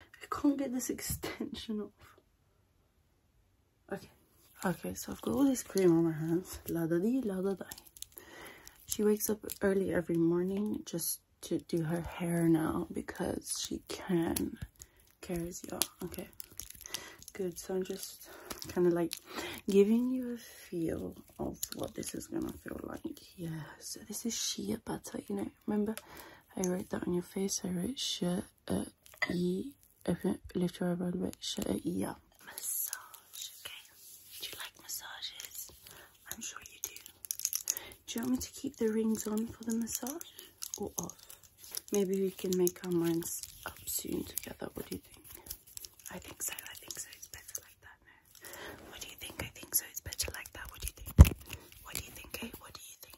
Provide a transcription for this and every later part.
I can't get this extension off. Okay. Okay, so I've got all this cream on my hands. La da dee, la da die. She wakes up early every morning just to do her hair now because she can. Cares, yeah. Okay. Good. So I'm just kind of like giving you a feel of what this is gonna feel like. Yeah. So this is sheer butter. You know, right? Remember, I wrote that on your face. I wrote shirt at ye. Open it, lift your eyebrow a bit. Shirt at uh, ye. Yeah. Massage, okay? Do you like massages? I'm sure you do. Do you want me to keep the rings on for the massage or off? Maybe we can make our minds up soon together. What do you think? I think so. I think so. It's better like that. What do you think? I think so. It's better like that. What do you think? What do you think? Hey, eh? what do you think?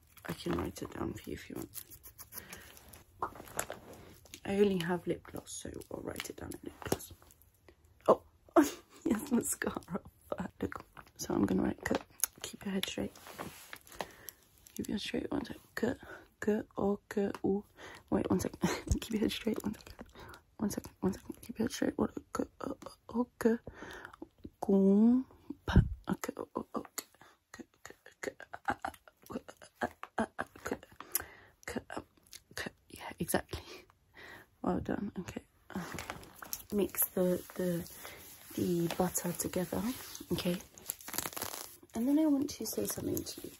I can write it down for you if you want. I only have lip gloss, so I'll write it down in lip gloss. Oh, yes, mascara. Look, so I'm gonna write cut. Keep your head straight. Keep your straight one second. Cut, cut, or cut, ooh. Wait, one second. Keep your head straight. One second. One second. One second. Keep your head straight. What? Cut, okay. Okay. Okay yeah exactly well done okay mix the the the butter together okay and then i want to say something to you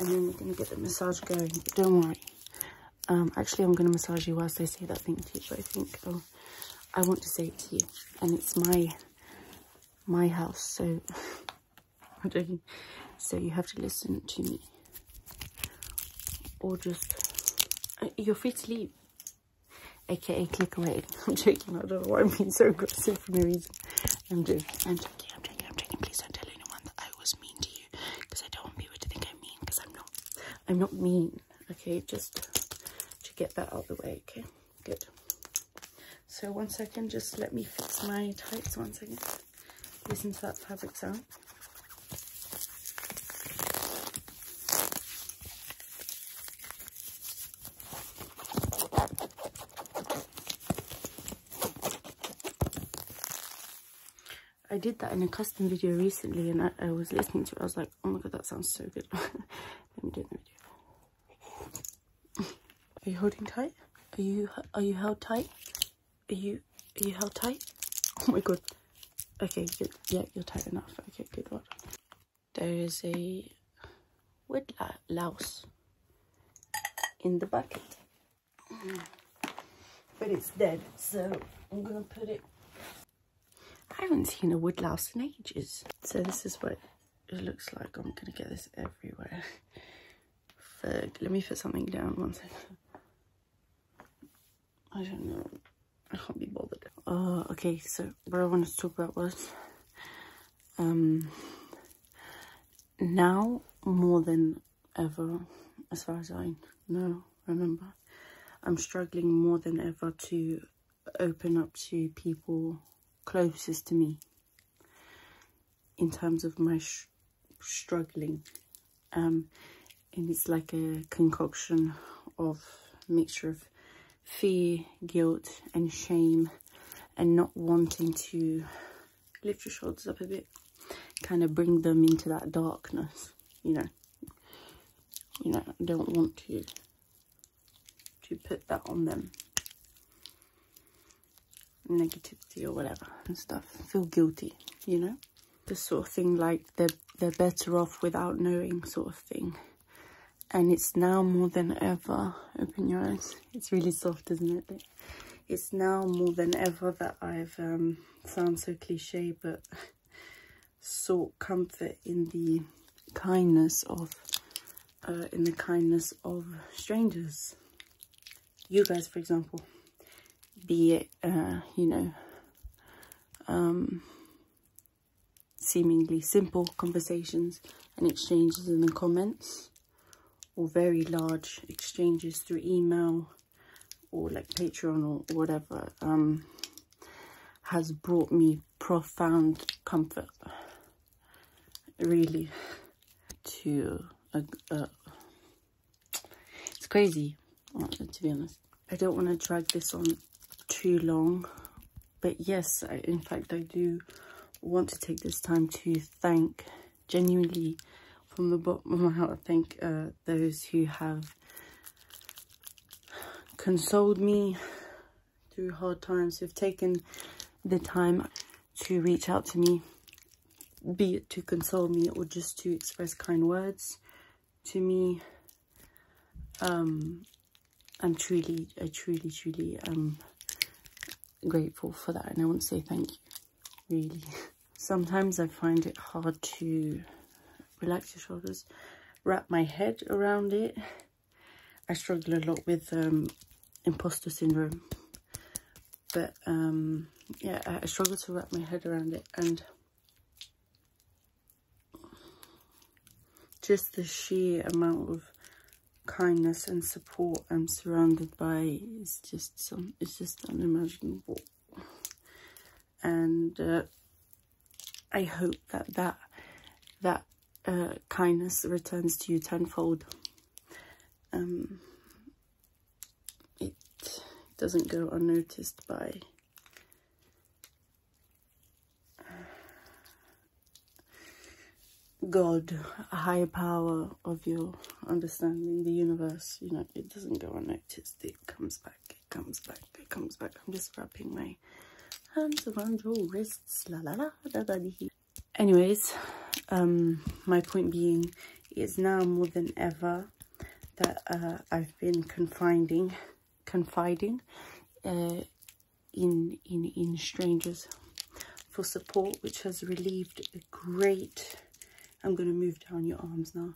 and then we're going to get the massage going don't worry um actually i'm going to massage you whilst i say that thing to you i think oh i want to say it to you and it's my my house. So I'm joking. So you have to listen to me, or just uh, your feet free to leave. AKA click away. I'm joking. I don't know why I'm being so aggressive for no reason. I'm joking. I'm joking. I'm joking. I'm joking. Please don't tell anyone that I was mean to you, because I don't want people to think I'm mean. Because I'm not. I'm not mean. Okay, just to get that out of the way. Okay. Good. So one second, just let me fix my tights one second. Listen to that fabric sound. I did that in a custom video recently and I, was listening to it. I was like, oh my god, that sounds so good. Let me do the are you holding tight? Are you are you held tight? Are you are you held tight? Oh my god. Okay, good. Yeah, you're tight enough. Okay, good one. There is a wood louse in the bucket. But it's dead, so I'm gonna put it I haven't seen a woodlouse in ages. So this is what it looks like. I'm going to get this everywhere. let me put something down one second. I don't know. I can't be bothered. Uh, okay. So what I wanted to talk about was um, now more than ever, as far as I know, remember, I'm struggling more than ever to open up to people closest to me in terms of my struggling um, and it's like a concoction of mixture of fear guilt and shame and not wanting to lift your shoulders up a bit kind of bring them into that darkness you know you know don't want to to put that on them. Negativity or whatever and stuff. Feel guilty, you know? The sort of thing like they're, they're better off without knowing sort of thing. And it's now more than ever. Open your eyes. It's really soft, isn't it? It's now more than ever that I've, um, sounds so cliche, but sort comfort in the kindness of uh, in the kindness of strangers you guys for example be it uh, you know um, seemingly simple conversations and exchanges in the comments or very large exchanges through email or like patreon or, whatever um, has brought me profound comfort, really, to, it's crazy, to be honest. I don't want to drag this on too long, but yes, in fact, I do want to take this time to thank, genuinely, from the bottom of my heart, thank uh, those who have consoled me, through hard times who've taken the time to reach out to me, be it to console me or just to express kind words to me. Um, I'm truly, I truly, truly um grateful for that and I want to say thank you, really. Sometimes I find it hard to relax your shoulders, wrap my head around it I struggle a lot with um, imposter syndrome. But um, yeah, I, struggle to wrap my head around it. And just the sheer amount of kindness and support I'm surrounded by is just some, it's just unimaginable. And uh, I hope that that, that uh, kindness returns to you tenfold. Um, it doesn't go unnoticed by uh, God, a higher power of your understanding, the universe, you know, it doesn't go unnoticed. It comes back, it comes back, it comes back. I'm just wrapping my Hands around your wrists, Anyways, um, my point being is now more than ever that uh, I've been confiding, confiding uh, in in in strangers for support, which has relieved a great. I'm going to move down your arms now,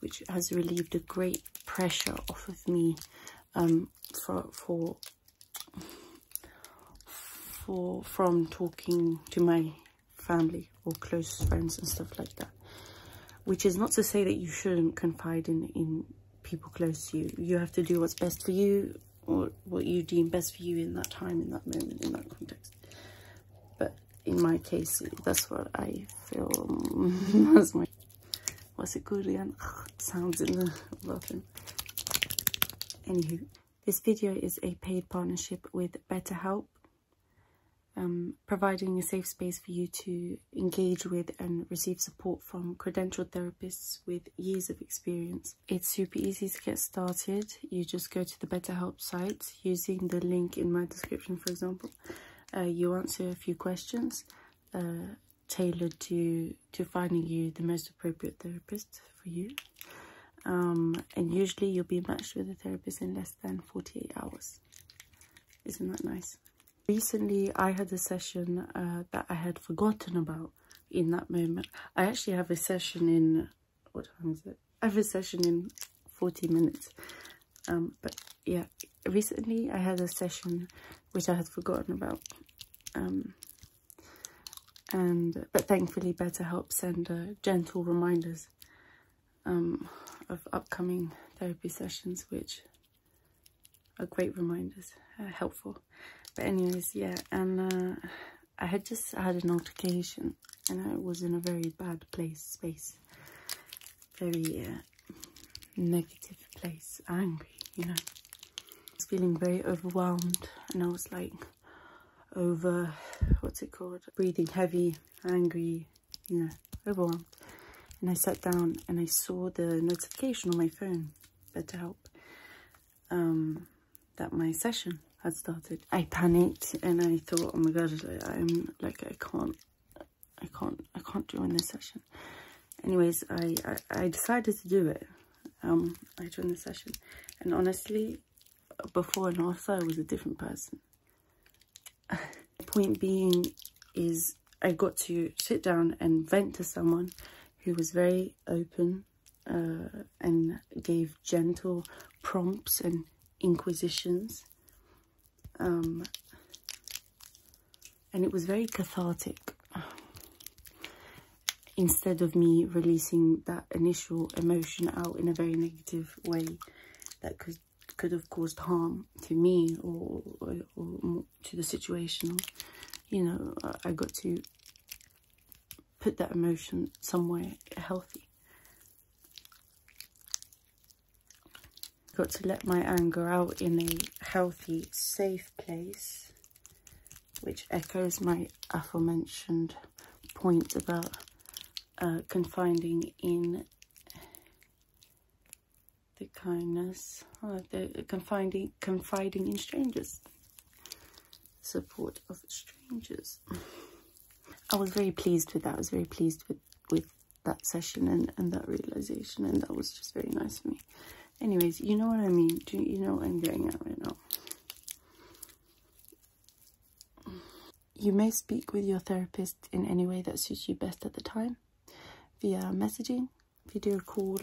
which has relieved a great pressure off of me um, for for for from talking to my family or close friends and stuff like that which is not to say that you shouldn't confide in in people close to you you have to do what's best for you or what you deem best for you in that time in that moment in that context but in my case that's what i feel that's my what's it called again? sounds in the laughing. Anywho, this video is a paid partnership with BetterHelp, um, providing a safe space for you to engage with and receive support from credentialed therapists with years of experience. It's super easy to get started. You just go to the BetterHelp site using the link in my description, for example. Uh, you answer a few questions. Uh, tailored to to finding you the most appropriate therapist for you um, and usually you'll be matched with a therapist in less than 48 hours isn't that nice recently i had a session uh, that i had forgotten about in that moment i actually have a session in what time is it i have a session in 40 minutes um, but yeah recently i had a session which i had forgotten about um, and But thankfully BetterHelp send uh, gentle reminders um, of upcoming therapy sessions, which are great reminders, uh, helpful. But anyways, yeah, and uh, I had just had an altercation and I was in a very bad place, space, very negative place, angry, you know. I was feeling very overwhelmed and I was like over, what's it called? Breathing heavy, angry, you know, overwhelmed. And I sat down and I saw the notification on my phone, Better Help, um, that my session had started. I panicked and I thought, oh my God, I'm like, I can't, I can't, I can't join this session anyways I, I, decided to do it I um, joined the session and honestly before and after I was a different person point being is I got to sit down and vent to someone who was very open uh, and gave gentle prompts and inquisitions um, and it was very cathartic instead of me releasing that initial emotion out in a very negative way that could could have caused harm to me or, or, to the situation you know I got to put that emotion somewhere healthy got to let my anger out in a healthy safe place which echoes my aforementioned point about uh, confiding in the kindness, uh, the confiding, confiding in strangers, support of strangers. I was very pleased with that. I was very pleased with, with that session and, and that realization and that was just very nice for me. Anyways, you know what I mean. Do you know what I'm getting at right now? You may speak with your therapist in any way that suits you best at the time via messaging, video call,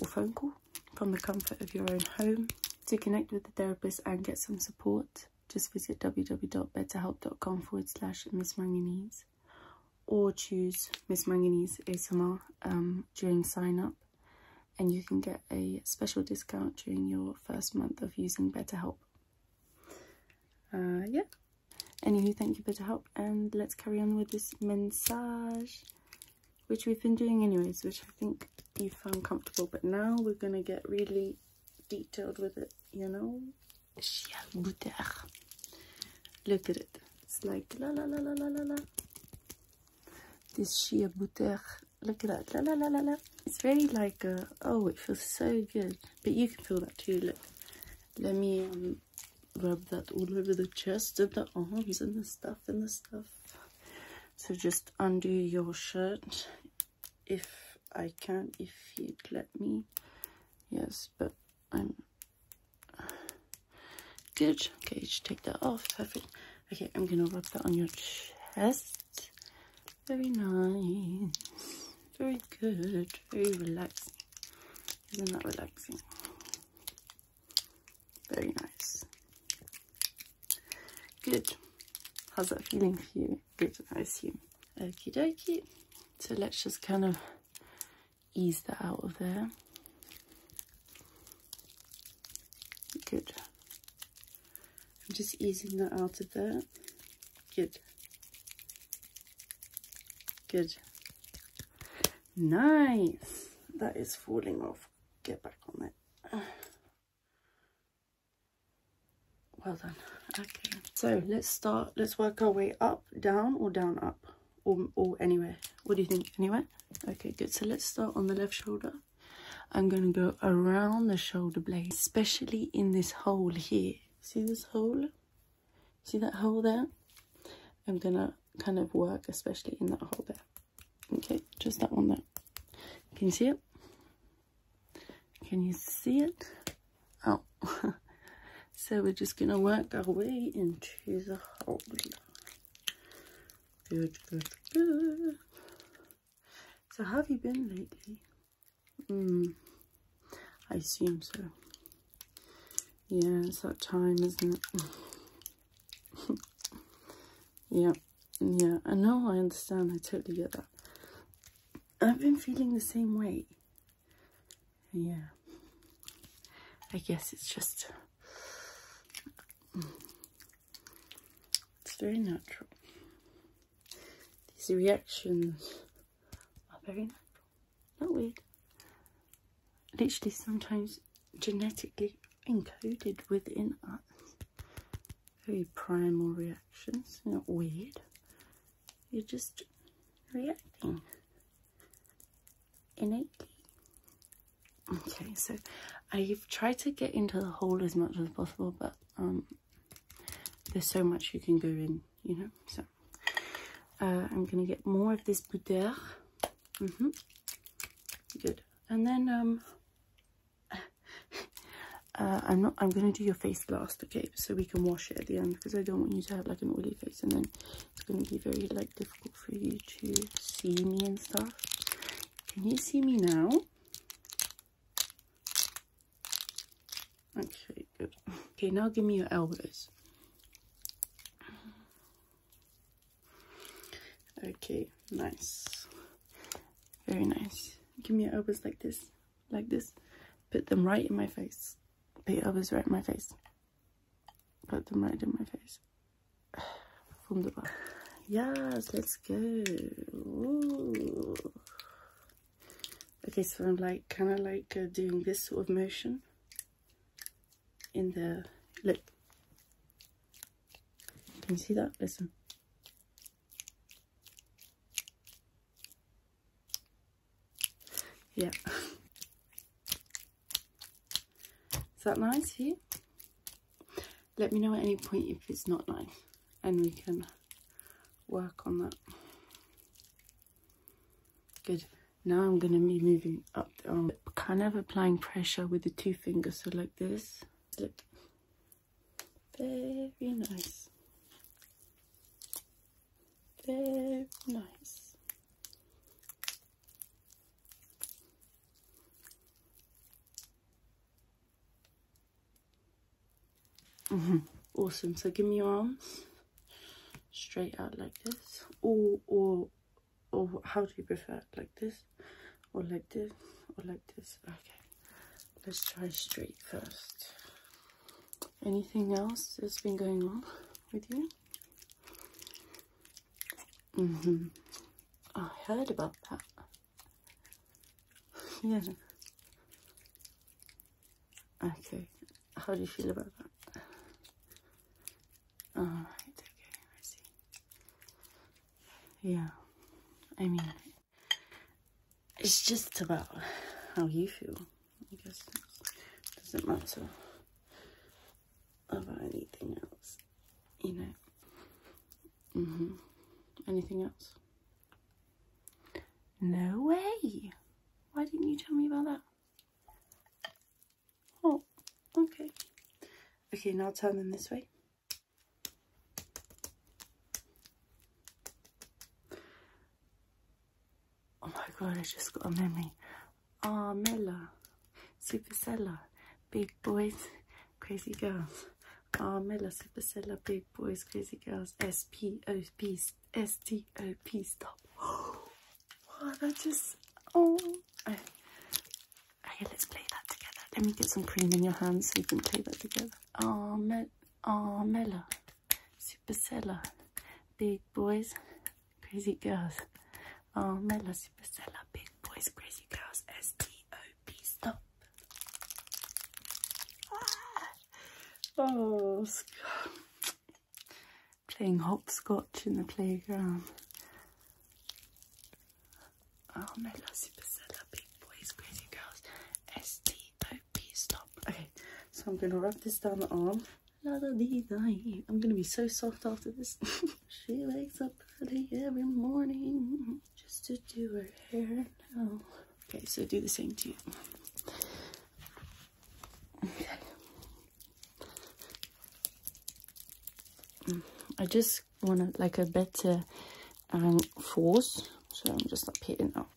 or phone call from the comfort of your own home. To connect with the therapist and get some support, just visit www.betterhelp.com forward slash Miss Manganese or choose Miss Mangini's ASMR um, during sign up and you can get a special discount during your first month of using BetterHelp. Uh, yeah. Anywho, thank you BetterHelp and let's carry on with this massage which we've been doing anyways which I think you found comfortable but now we're gonna get really detailed with it you know look at it it's like la la la la la la This sheer butter. Look at that. La la la la la. It's very like uh, oh, it feels so good. But you can feel that too. Look, let me um, rub that all over the chest and the arms and the stuff and the stuff. So just undo your shirt if I can, if you'd let me. Yes, but I'm Good. Okay, you should take that off. Perfect. Okay, I'm gonna rub that on your chest. Very nice. Very good. Very relaxing. Isn't that relaxing? Very nice. Good. How's that feeling for you? Good, I assume. Okie dokie. So let's just kind of ease that out of there. Good. I'm just easing that out of there. Good. Good. Nice. That is falling off. Get back on it. Well done. Okay, so let's start. Let's work our way up, down, or down, up or, anywhere what do you think anywhere okay good so let's start on the left shoulder I'm going to go around the shoulder blade especially in this hole here see this hole see that hole there I'm gonna kind of work especially in that hole there okay just that one there can you see it can you see it oh So we're just going to work our way into the hole. Good, good, good. So have you been lately? Hmm, I assume so. Yeah, it's that time, isn't it? yeah, yeah, I know, I understand, I totally get that. I've been feeling the same way yeah I guess it's just mm. it's very natural these reactions are very natural not weird literally sometimes genetically encoded within us very primal reactions not weird you're just reacting innately. Okay, so I've tried to get into the hole as much as possible, but um, there's so much you can go in, you know. So uh, I'm gonna get more of this boudeur. Mm -hmm. Good, and then um, uh, I'm not. I'm gonna do your face blast, okay? So we can wash it at the end because I don't want you to have like an oily face, and then it's gonna be very like for you to see me and stuff. Can you see me now? Actually, good. Okay, now give me your elbows. Okay, nice. Very nice. Give me your elbows like this, like this. Put them right in my face. Put elbows right in my face. Put them right in my face. Wunderbar. Yes, let's go. Okay, so I'm like kind of like uh, doing this sort of motion in the look. Can you see that? Listen. Yeah. Is that nice here? Let me know at any point if it's not nice and we can work on that. Good. Now I'm going to be moving up the arm, kind of applying pressure with the two fingers. So like this, look, very nice. Very nice. Mm-hmm. Awesome. So give me your arms straight out like this, or or or how do you prefer? Like this, or like this, or like this. Okay. Let's try straight first. Anything else that's been going on? with you. Mm hmm I heard about that. yeah. Okay. How do you feel about that? Alright, okay, I see. Yeah. I mean it's just about how you feel. I guess it doesn't matter about anything else, you know. hmm Anything else? No way! Why didn't you tell me about that? Oh, okay. Okay, now turn them this way. Oh my god, I just got a memory Armilla, Supercella, Big Boys, Crazy Girls. Armilla, Supercella, Big Boys, Crazy Girls, S-P-O-P, S-T-O-P, stop. Oh, that just, oh. Okay, let's play that together. Let me get some cream in your hands so we can play that together. Armilla, Armilla, Supercella, Big Boys, Crazy girls. Oh, Mela si Bessela, big boys, crazy girls, S-T-O-P, stop. Ah. Oh, playing hopscotch in the playground. Oh, Mela si Bessela, big boys, crazy girls, S-T-O-P, stop. Okay, so I'm going to rub this down the arm. I'm gonna be so soft after this. she wakes up early every morning just to do her hair Okay, so do the same to you. I just want like a better um, force, so I'm just like pitting up.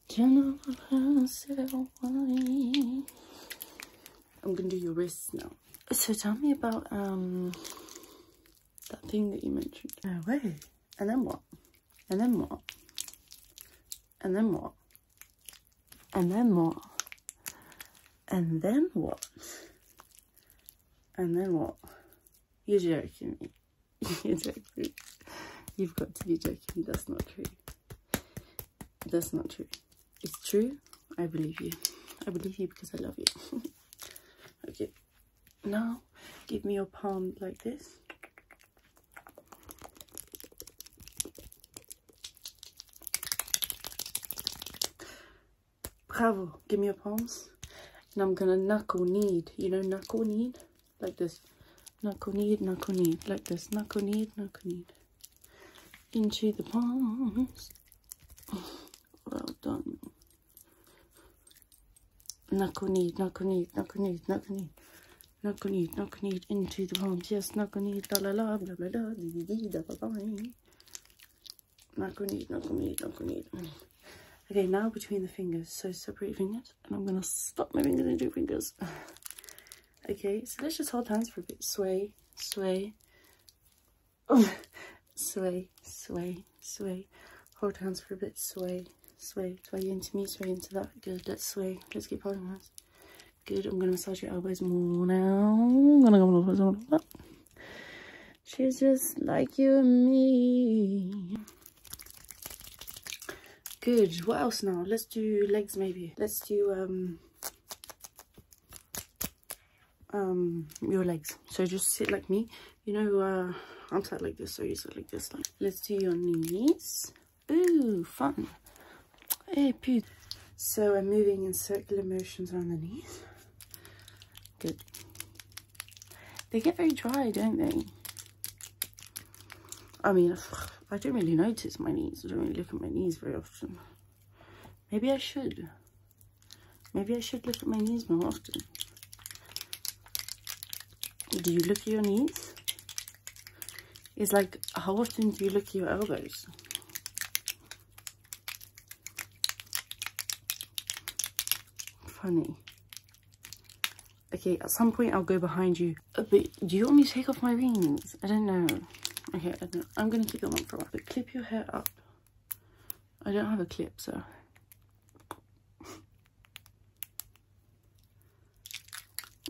I'm gonna do your wrists now. So tell me about um that thing that you mentioned. No oh, way. And then what? And then what? And then what? And then what? And then what? You're joking me. You're joking me. You've got to be joking. That's not true. That's not true it's true i believe you i believe you because i love you okay now give me your palm like this bravo give me your palms and i'm gonna knuckle knead you know knuckle knead like this knuckle knead knuckle knead like this knuckle knead knuckle knead into the palms. Well done. Knuckle knead, knuckle knead, knuckle knead, knuckle knead. Knuckle knead, knuckle knead into the palms. Yes, knuckle knead, la la la, la la la, dee dee da da da. Knuckle knead, knuckle knead, knuckle knead. Okay, now between the fingers. So separate fingers, and I'm gonna stop my fingers into fingers. okay, so let's just hold hands for a bit. Sway, sway, sway, sway, sway. Hold hands for a bit, sway, sway, sway into me, sway into that. Good, let's sway. Let's keep holding hands. Good, I'm going to massage your elbows more now. I'm going to go a little bit, a She's just like you and me. Good, what else now? Let's do legs maybe. Let's do, um, um your legs so just sit like me you know uh i'm sat like this so you sit like this like let's do your knees Ooh, fun hey poo so i'm moving in circular motions around the knees good they get very dry don't they i mean i don't really notice my knees i don't really look at my knees very often Maybe I should. Maybe I should look at my knees more often. Do you look at your knees? It's like, how often do you look at your elbows? Funny. Okay, at some point I'll go behind you. But do you want me to take off my rings? I don't know. Okay, I am going to keep them on for a while. But clip your hair up. I don't have a clip, so...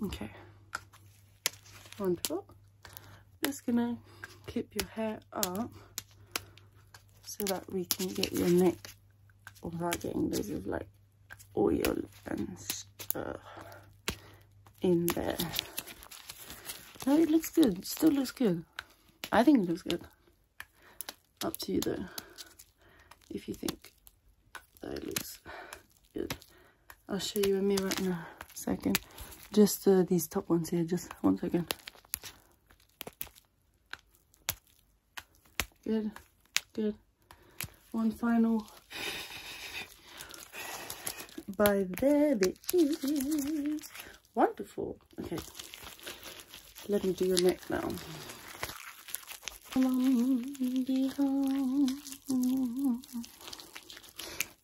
okay. Wonderful. Just going to clip your hair up so that we can get your neck without getting loads of like oil and stuff in there. No, it looks good. still looks good. I think it looks good. Up to you though, if you think that it looks good. I'll show you a mirror in a second. Just uh, these top ones here, just one second. Good, good. One final by there it is. Wonderful. Okay. Let me do your neck now.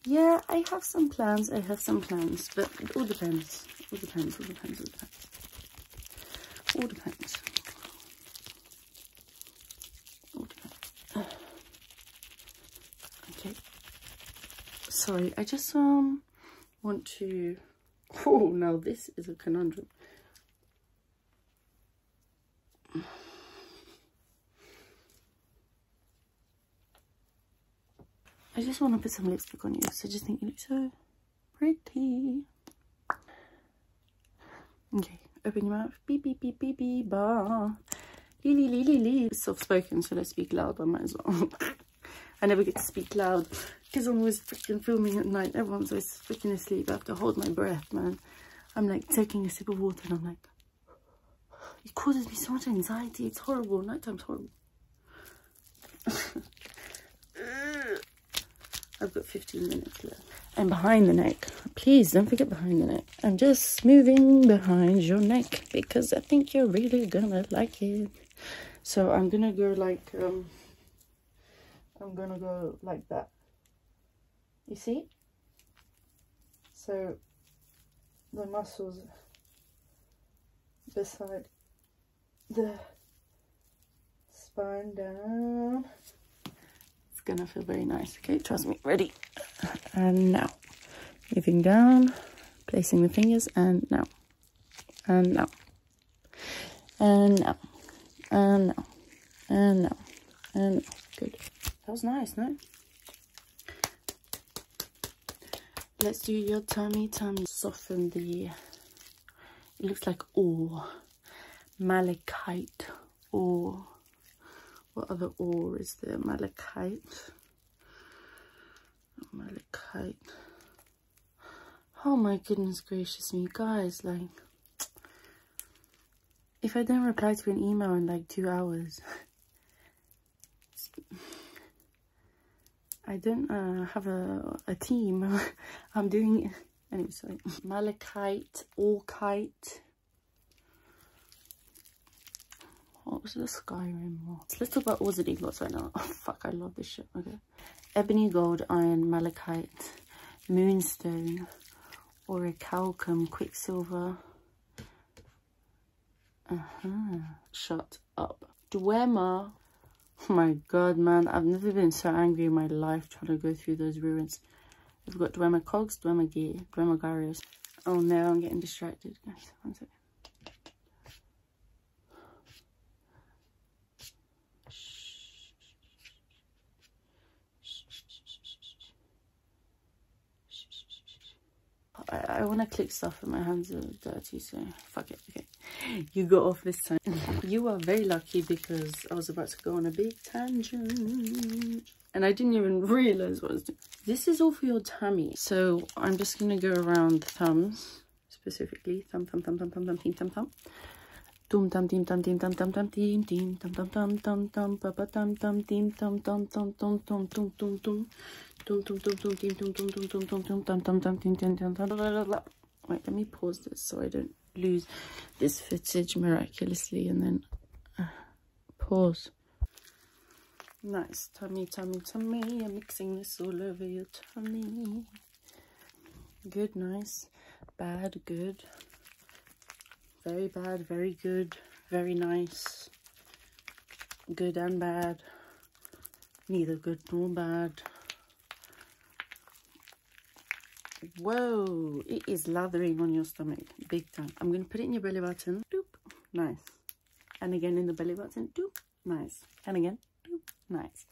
Yeah, I have some plans. I have some plans, but it all depends. All depends. All depends. All depends. All depends. All depends. Okay. Sorry, I just um want to... Oh, now this is a conundrum. I just want to put some lipstick on you So I just think you look so pretty. Okay, open your mouth beep, beep, beep, beep, beep, ba. Lee, lee, lee, lee, Soft-spoken, so I speak loud, I might as well. I never get to speak loud because I'm always freaking filming at night. Everyone's always freaking asleep. I have to hold my breath, man. I'm like taking a sip of water and I'm like, it causes me so much anxiety. It's horrible. Nighttime's horrible. I've got 15 minutes left. And behind the neck. Please don't forget behind the neck. I'm just moving behind your neck because I think you're really gonna like it. So I'm gonna go like, um, I'm gonna go like that. You see? So the muscles beside the spine down. It's gonna feel very nice. Okay, trust me. Ready? And now moving down, placing the fingers, and now, and now, and now, and now, and now, and Good. That was nice, no? Let's do your tummy, tummy. Soften the, it looks like oh, malachite, Oh what other ore is there? Malachite. Malachite. Oh my goodness gracious me, guys, like, if I don't reply to an email in like two hours, I don't uh, have a, team. I'm doing, anyway, sorry. Malachite, Orkite. What was the Skyrim more? It's little but wasn't ingots right now. Oh, fuck, I love this shit. Okay. Ebony, gold, iron, malachite, moonstone, orichalcum, quicksilver. Uh-huh. Shut up. Dwemer. Oh my god, man. I've never been so angry in my life trying to go through those ruins. We've got Dwemer Cogs, Dwemer Gear, Dwemer Garius, Oh no, I'm getting distracted. Guys, one second. I, I want to click stuff and my hands are dirty, so fuck it. Okay, you got off this time. you are very lucky because I was about to go on a big tangent and I didn't even realize what I was doing. This is all for your tummy. So I'm just gonna go around the thumbs, specifically thumb, thumb, thumb, thumb, thumb, thumb, thumb, thumb, thumb. Tum tam tim tam tim tam tam tam tim tim tam tam tam tam tam pa pa tam tam tim tam tam tam tam tam tum tum tum tum tum tum tum tim tum tum tum tum tum tum tam tam tam tim tim tam tam Wait, let me pause this so I don't lose this footage miraculously and then pause. Nice, tummy, tummy, tummy. I'm mixing this all over your tummy. Good, nice. Bad, good. Very bad, very good, very nice. Good and bad. Neither good nor bad. Whoa, it is lathering on your stomach, big time. I'm going to put it in your belly button nice and again in the belly button doop nice and again nice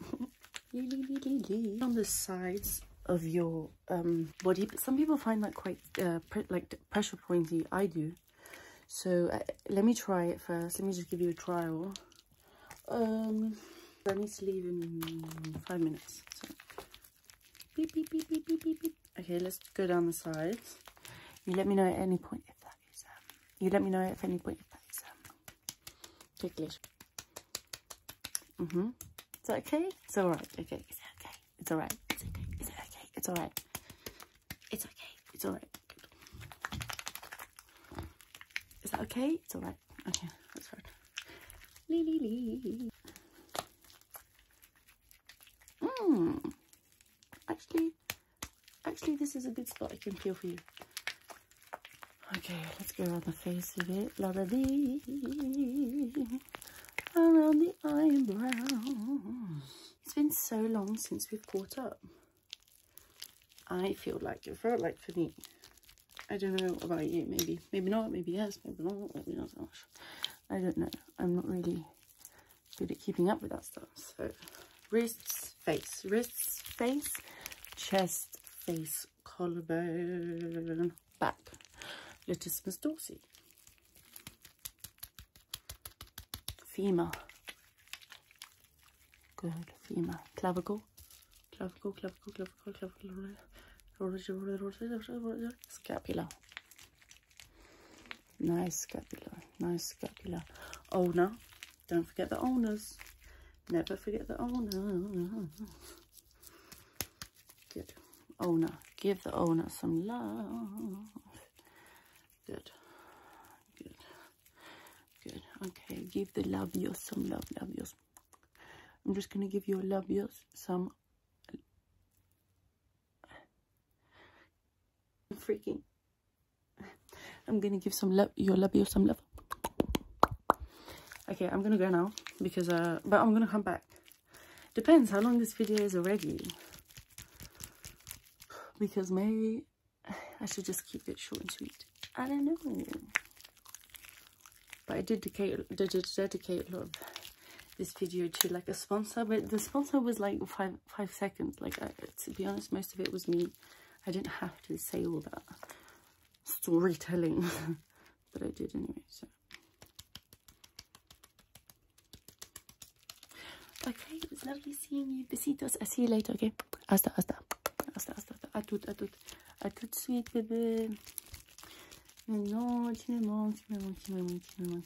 on the sides of your um, body but some people find that quite uh, like pressure pointy i do so uh, let me try it first let me just give you a trial um i need to leave in five minutes Okay, let's go down the sides. You let me know at any point if that is, um, you let me know at any point if that is, um, ticklish. mm Is that okay? It's all right. Okay, is it okay? It's all right. It's okay. Is it okay? It's all right. It's okay. It's all right. Is that okay? It's all right. Okay, that's fine. Lee, lee, lee. Mm. Actually, actually this is a good spot I can peel for you. Okay, let's go around the face of it. La da dee. Around the eyebrows. It's been so long since we've caught up. I feel like it felt like for me. I don't know about you. Maybe, maybe not. Maybe yes. Maybe not. Maybe not I don't know. I'm not really good at keeping up with that stuff. So wrists, face, wrists, face, chest, face, collarbone, back, latissimus dorsi, femur, good, femur, clavicle, clavicle, clavicle, clavicle, clavicle, Clavicle. scapula, Nice scapula, nice scapula. Owner, don't forget the owners. Never forget the owner. Good. Owner, give the owner some love. Good. Good. Good. Okay, give the love yours some love, love yours. I'm just going to give your love yours some I'm freaking. I'm gonna give some love your labio some love. Okay, I'm gonna go now because uh, but I'm gonna come back. Depends how long this video is already. Because maybe I should just keep it short and sweet. I don't know. But I did dedicate, did dedicate a this video to like a sponsor but the sponsor was like five five seconds like I, to be honest most of it was me i didn't have to say all that storytelling but i did anyway so okay it was lovely seeing you besitos i'll see you later okay hasta hasta hasta hasta, hasta. à tout à tout à tout de suite bébé mais non tu me manques tu me manques tu me manques tu me manques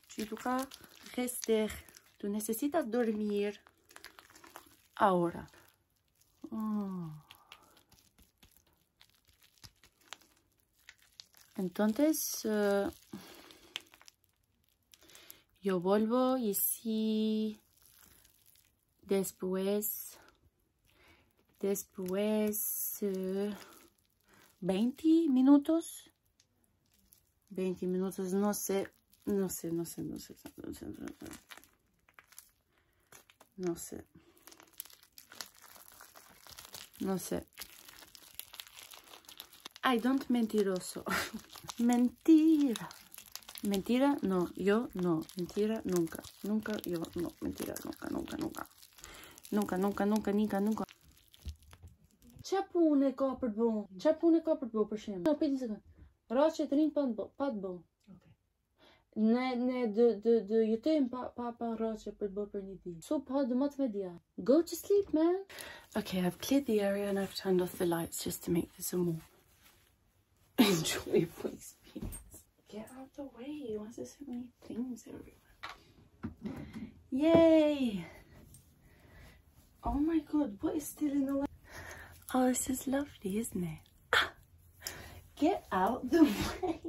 Tu tú necesitas dormir ahora. Mm. Entonces, eh, yo vuelvo y si después, después eh, veinte minutos, 20 minutos, no sé, no sé, no sé, no sé, no sé, no sé. No sé. No sé. I don't mentiroso. mentira. Mentira, no, yo no. Mentira, nunca. Nunca, yo no. Mentira, nunca, nunca, nunca. Nunca, nunca, nunca, nunca, nunca. Çapune ka për të bo, çapune ka për të bo për shemb. Na piti sekond. Rraqe Ne ne dë dë dë jetojmë pa pa pa rraqe për të bo për So pa do më media. Go to sleep, man. Okay, I've cleared the area and I've turned off the lights just to make this a more enjoyable experience. Get out of the way. Why is there so many things everywhere? Yay! Oh my god, what is still in the way? Oh, this is lovely, isn't it? Get out the way!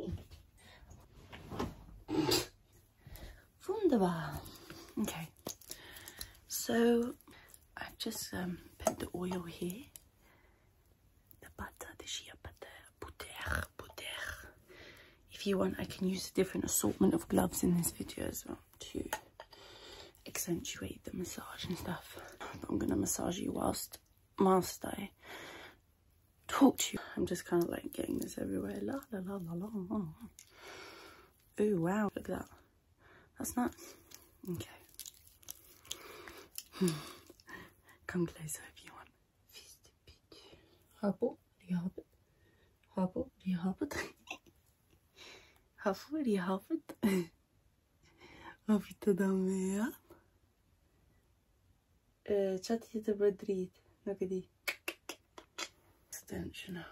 Wunderbar. Okay, so I've just um, put the oil here. The butter, the shea butter, butter, butter. If you want, I can use a different assortment of gloves in this video as well to accentuate the massage and stuff. But I'm going to massage you whilst, whilst I talk to you. I'm just kind of like getting this everywhere. La la la la la. Oh Ooh, wow. Look at that. That's nice. Okay. Hmm. Come closer if you want. 51 하고 리하벳 하고 리하벳 하고 리하벳 وفي دمياط شاتية مدريد نقدي استنى شنو